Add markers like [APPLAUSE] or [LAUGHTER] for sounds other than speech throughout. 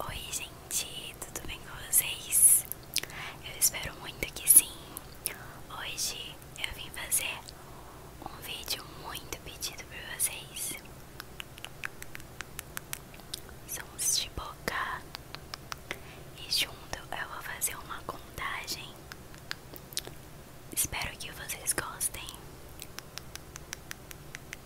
Oi gente, tudo bem com vocês? Eu espero muito que sim. Hoje eu vim fazer um vídeo muito pedido por vocês. Sons de boca. E junto eu vou fazer uma contagem. Espero que vocês gostem.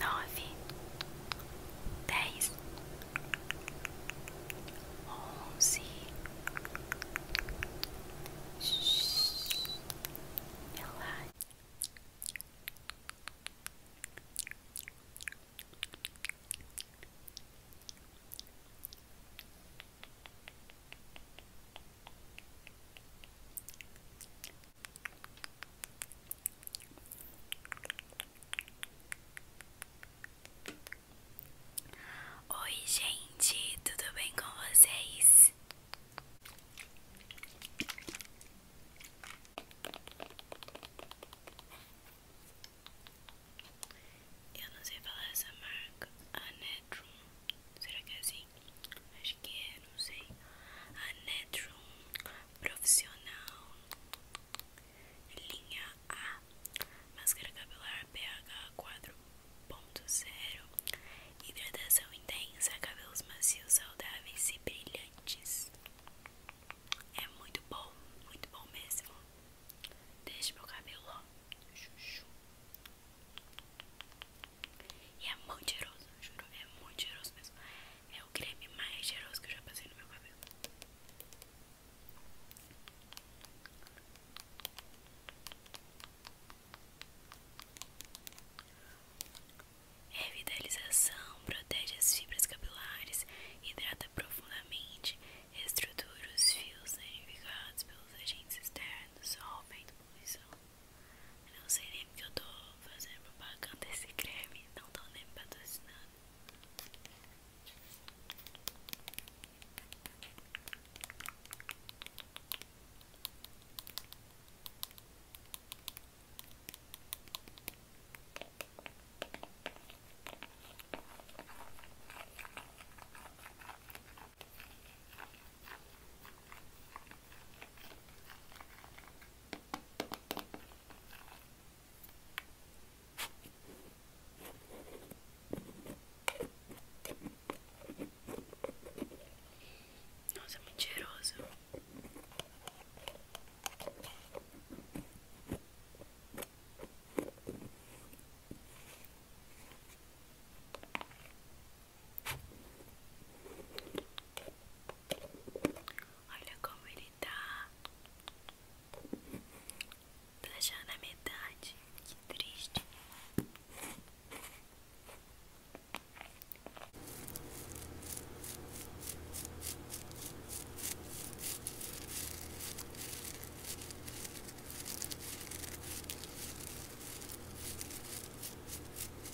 nove, dez, onze. Relaxa. Oi, gente, tudo bem com vocês? Eu não sei falar essa marca, Anetrum. Ah, né, Será que é assim? Acho que é, não sei. A Netron Profissional Linha A Máscara cabelar pH 4.0 Hidratação intensa, cabelos macios, saudáveis e brilhantes É muito bom, muito bom mesmo Deixa meu cabelo, ó Chuchu e é muito cheiroso, juro, é muito cheiroso mesmo. É o creme mais cheiroso que eu já passei no meu cabelo. Revitalização é protege as fibras capilares, hidrata profundamente, reestrutura os fios danificados pelos agentes externos, aumenta a poluição. Não sei nem que eu tô fazendo propaganda esse creme, não tô nem patrocinando. Nossa, é muito cheiroso. Olha como ele tá. Tá já na metade. Que triste.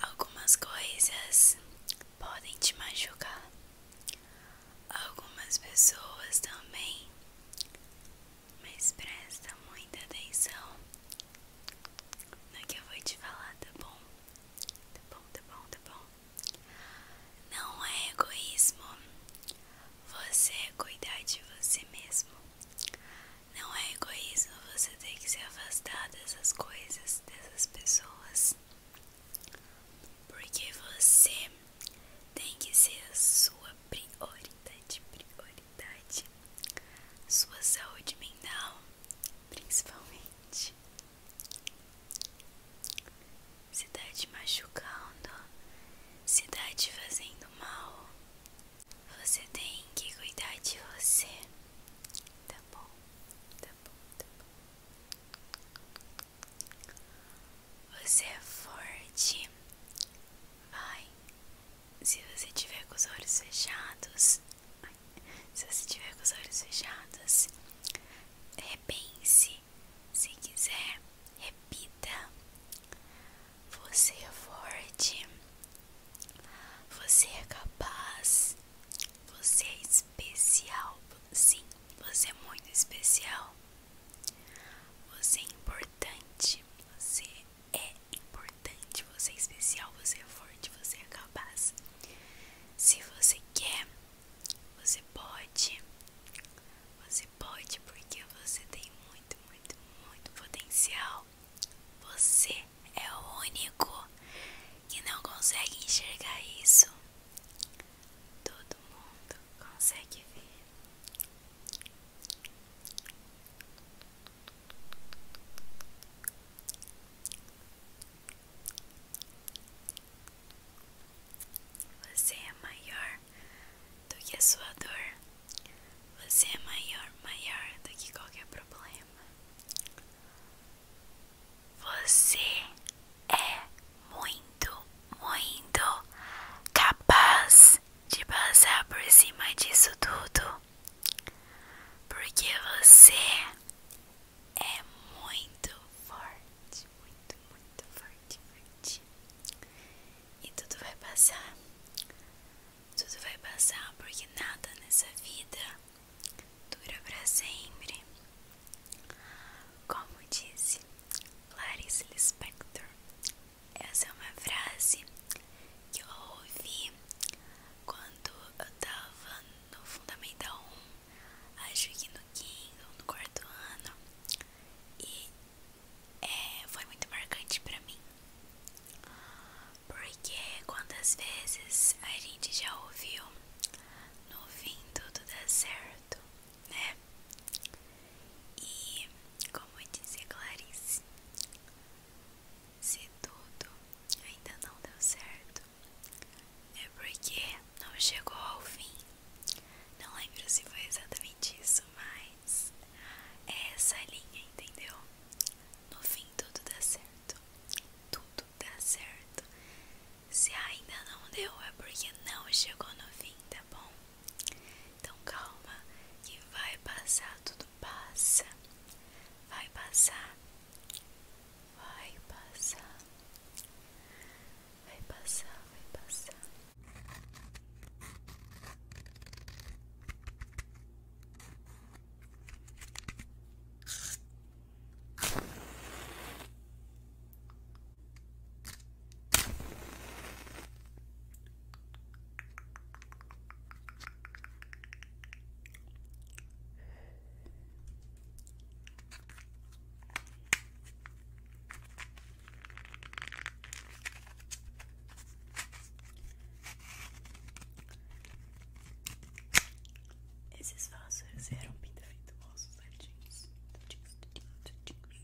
Algumas coisas podem te machucar, algumas pessoas também, mas presta muita atenção no que eu vou te falar, tá bom? Tá bom, tá bom, tá bom. Não é egoísmo você é cuidar de você mesmo. Não é egoísmo você ter que se afastar dessas coisas, dessas pessoas. Porque você tem que ser a sua prioridade, prioridade. Sua saúde mental, principalmente. Se tá te machucando, se tá te fazendo mal, você tem que cuidar de você. Tá bom, tá bom, tá bom. Você é forte. Vai. Se você tiver com os olhos fechados, se você tiver com os olhos fechados, repense. Se quiser, repita. Você é forte. Você é capaz. Você é especial. Sim, você é muito especial. Você é importante, você é importante, você é especial, você é forte, você é capaz. Se você quer, você pode. Você pode porque você tem muito, muito, muito potencial. Você é o único que não consegue enxergar isso. Todo mundo consegue ver. Você é maior do que a sua dor. Você é maior, maior do que qualquer problema. Você é muito, muito capaz de passar por cima disso tudo, porque você é muito forte, muito, muito forte, forte. E tudo vai passar, tudo vai passar, porque nada nessa vida dura para sempre. Como disse Clarice Spector. Essa é uma frase que eu ouvi quando eu tava no Fundamental 1, acho que no quinto ou no quarto ano, e é, foi muito marcante pra mim. Porque quantas vezes a gente já ouviu no fim tudo dá certo, né? E como dizia é Clarice, se tudo ainda não deu certo, é porque não chegou ao fim. Não lembro se foi exatamente isso, mas é essa linha, entendeu? No fim tudo dá certo. Tudo dá certo. Se ainda não deu, é porque não chegou no fim, tá bom? Então calma que vai passar, tudo passa. Vai passar. Vai passar. Vai passar, vai passar. Esses vasos eram pinta feito bolsos, tadinhos, tadinhos, tadinhos, tadinhos.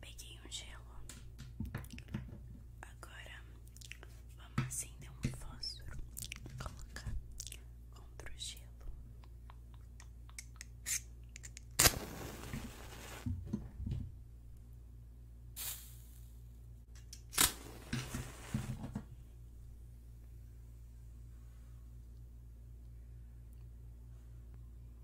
Peguei um gelo. Agora vamos acender um fósforo. Colocar contra o gelo.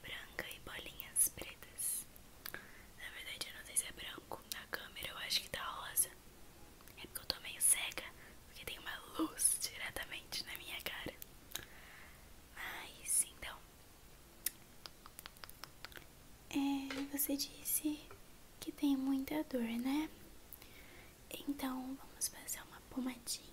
branca e bolinhas pretas. Na verdade, eu não sei se é branco. Na câmera eu acho que tá rosa. É porque eu tô meio cega, porque tem uma luz diretamente na minha cara. Mas então. É, você disse que tem muita dor, né? Então vamos fazer uma pomadinha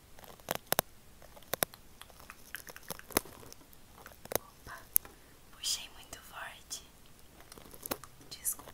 Opa, puxei muito forte. Desculpa.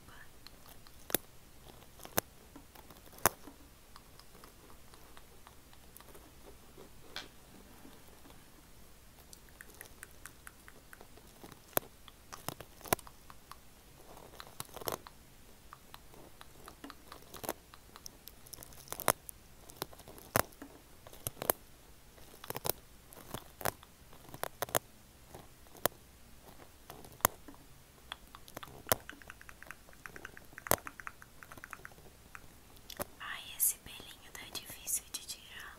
Ai, esse belinho tá difícil de tirar.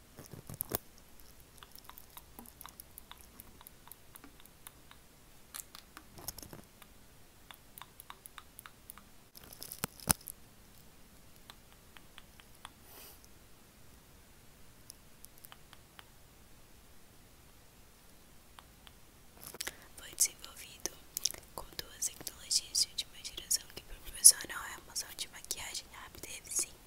Foi desenvolvido com duas tecnologias de última geração que proporcionam uma remoção de maquiagem rápida e eficiente.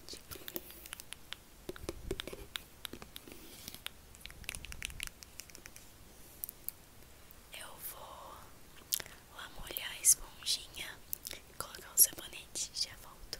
Eu vou lá molhar a esponjinha, colocar o sabonete e já volto.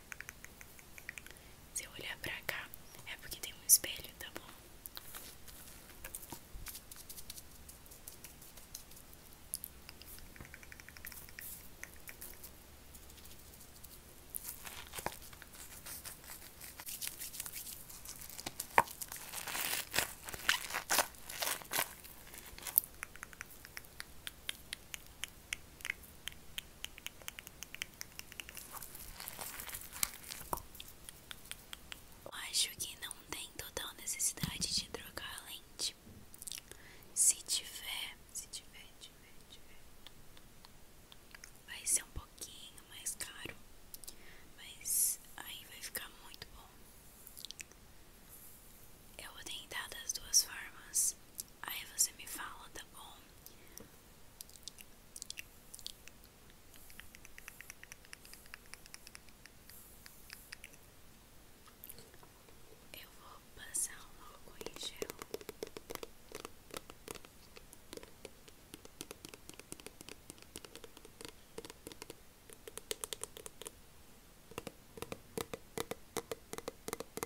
Se eu olhar pra cá, é porque tem um espelho, tá bom? Eu acho que não tem total necessidade de trocar a lente. Se tiver, se tiver, vai ser um pouquinho mais caro, mas aí vai ficar muito bom. Eu vou tentar das duas formas. Aí você me fala, tá bom? Eu vou passar um álcool em gel.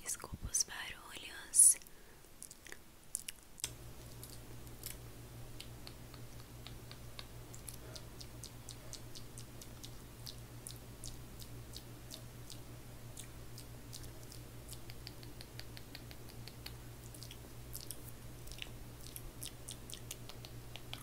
Desculpa os barulhos.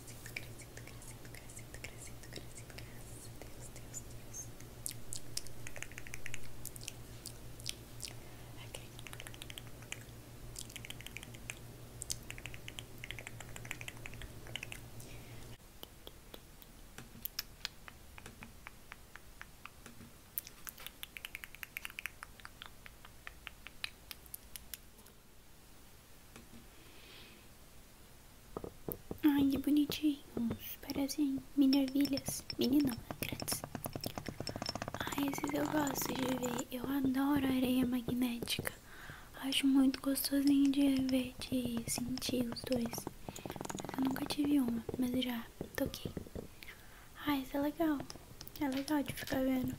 crescendo, crescendo, crescendo, crescendo, crescendo, crescendo, graças a Deus, Deus, Deus. Ok. Ai, que bonitinho, Parecem assim, mini ervilhas. Mini não, é grandes. Ai, esses eu gosto de ver. Eu adoro areia magnética. Acho muito gostosinho de ver, de sentir os dois. Eu nunca tive uma, mas já toquei. Ai, isso é legal. É legal de ficar vendo.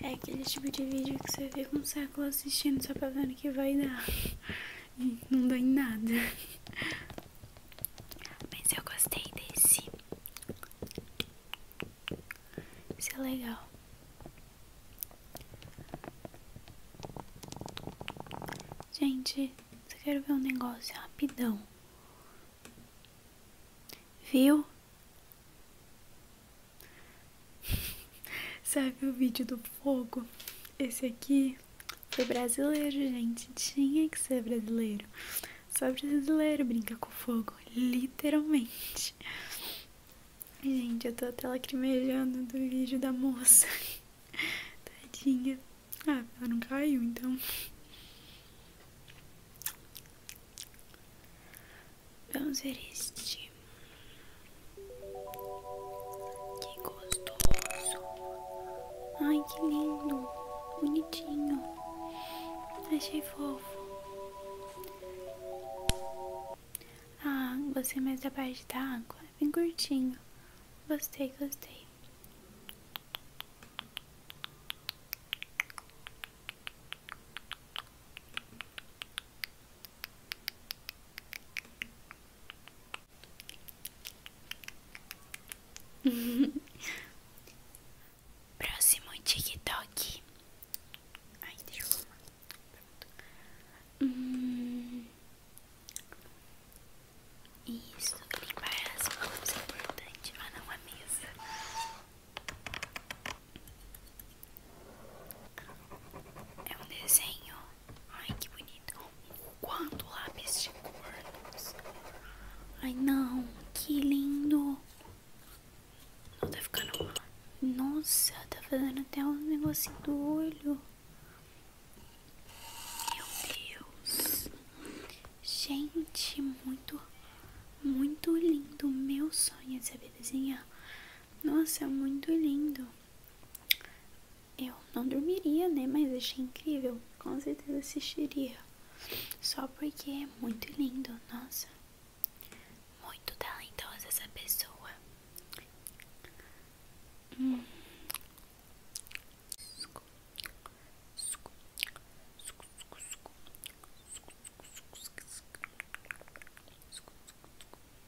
É aquele tipo de vídeo que você vê com um espetáculo assistindo só pra ver o que vai dar. Não dou em nada. Mas eu gostei desse. Isso é legal. Gente, só quero ver um negócio rapidão. Viu? [LAUGHS] Sabe o vídeo do fogo? Esse aqui foi brasileiro, gente. Tinha que ser brasileiro. Só brasileiro brinca com fogo, literalmente. Gente, eu tô até lacrimejando do vídeo da moça. [LAUGHS] Tadinha. Ah, ela não caiu, então. Vamos ver este. Que gostoso. Ai, que lindo. Bonitinho. Achei fofo. Ah, gostei mais da parte da água. É bem curtinho. Gostei, gostei. [LAUGHS] Próximo TikTok. Ai, deixa eu arrumar. Hum. Isso, limpar as mãos é importante. Ah, não, a mesa. É um desenho. Ai, que bonito. Quanto lápis de cornos. Ai, não. Que lindo. Não, tá ficando... Nossa, tá fazendo até um negocinho do olho. Meu Deus. Gente, muito, muito lindo. Meu sonho é saber desenhar. Nossa, é muito lindo. Eu não dormiria, né? Mas achei incrível. Com certeza assistiria. Só porque é muito lindo. Nossa. Muito talentosa essa pessoa. Hum.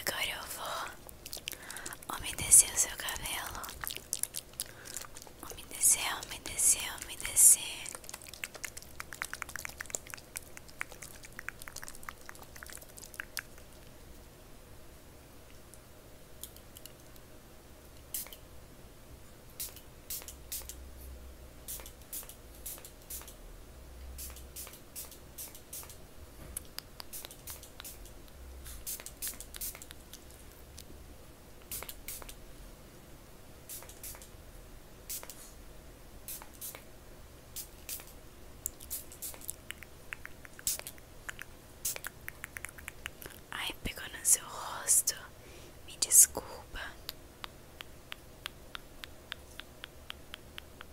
Agora eu vou umedecer o seu cabelo. Umedecer, umedecer, umedecer. Ai, pegou no seu rosto. Me desculpa.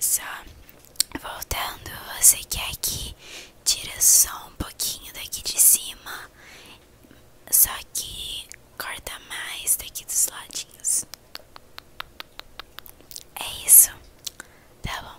Só voltando, você quer que é tira só um pouquinho daqui de cima, só que corta mais daqui dos ladinhos. É isso, tá bom.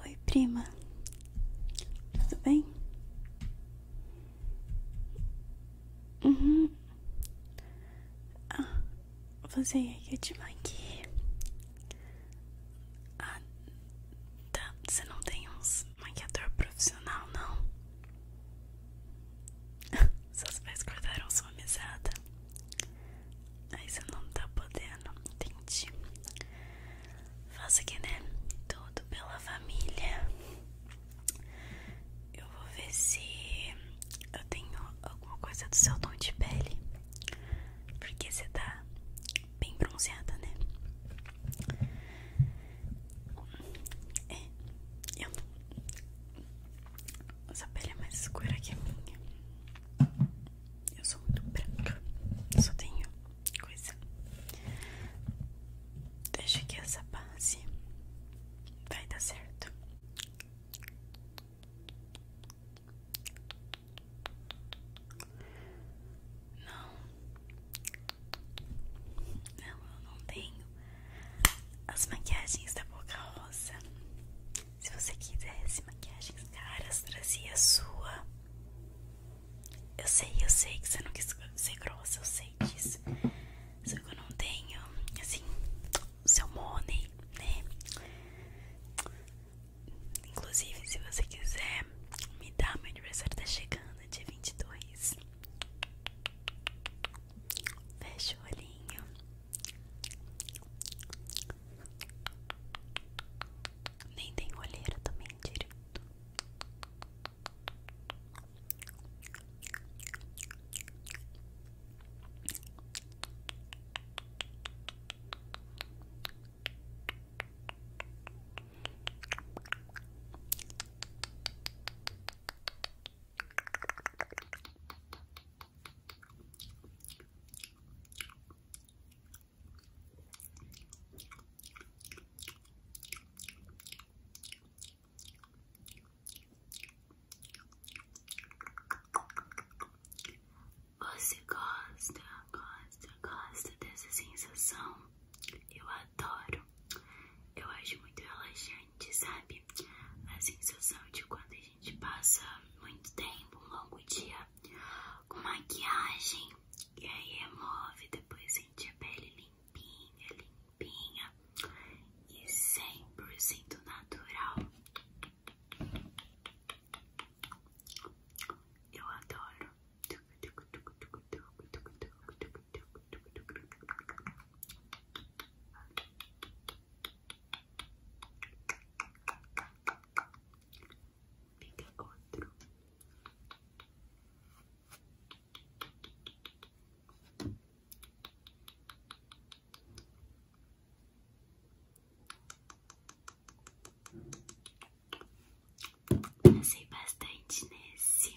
Oi, prima. Tudo bem? Uhum. Ah, você ia é de aqui. Ah, tá. Você não tem uns maquiador profissional, não? [LAUGHS] Seus pais cortaram sua mesada. Aí você não tá podendo, entende? Faça aqui, né? Tudo pela família. Eu vou ver se eu tenho alguma coisa do seu tom de pele. Porque você tá bem bronzeada, né? É, eu essa pele é mais escura que a minha. Eu sou muito branca. Eu só tenho coisa. Deixa que essa base vai dar certo. Não. Não, eu não tenho as maquiagens da Boca Rosa. Se você quisesse maquiagens caras, trazia a é sua. Eu sei, eu sei que você não quis ser grossa, eu sei disso. Só que eu não tenho, assim, o seu money, né? Inclusive, se você quiser me dar, meu aniversário tá chegando, dia 22. Fecha o olhinho. Nem tem olheira também direito. Você gosta, gosta, gosta dessa sensação? Eu adoro. Eu acho muito relaxante grande, sabe? A sensação de quando a gente passa muito tempo, um longo dia com maquiagem e aí remove, depois sente a pele limpinha, limpinha e 100% natural. Eu adoro. Pega outro. Passei bastante nesse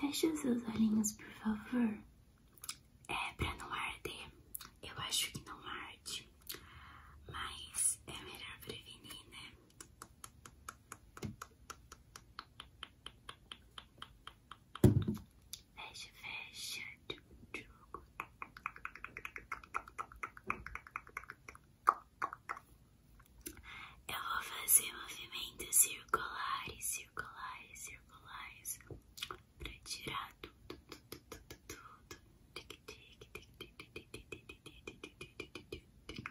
Feche os seus olhinhos, por favor. É pra não arder. Eu acho que não arde, mas é melhor prevenir, né? Fecha, fecha. Eu vou fazer movimentos circulares, circulares, circulares para tirar tudo, tudo, tudo, tudo. Tic, tic, tic, tic, tic, tic, tic, tic, tic, tic, tic, tic, tic.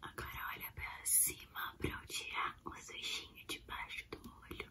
Agora olha para cima para tirar o sujinho debaixo do olho.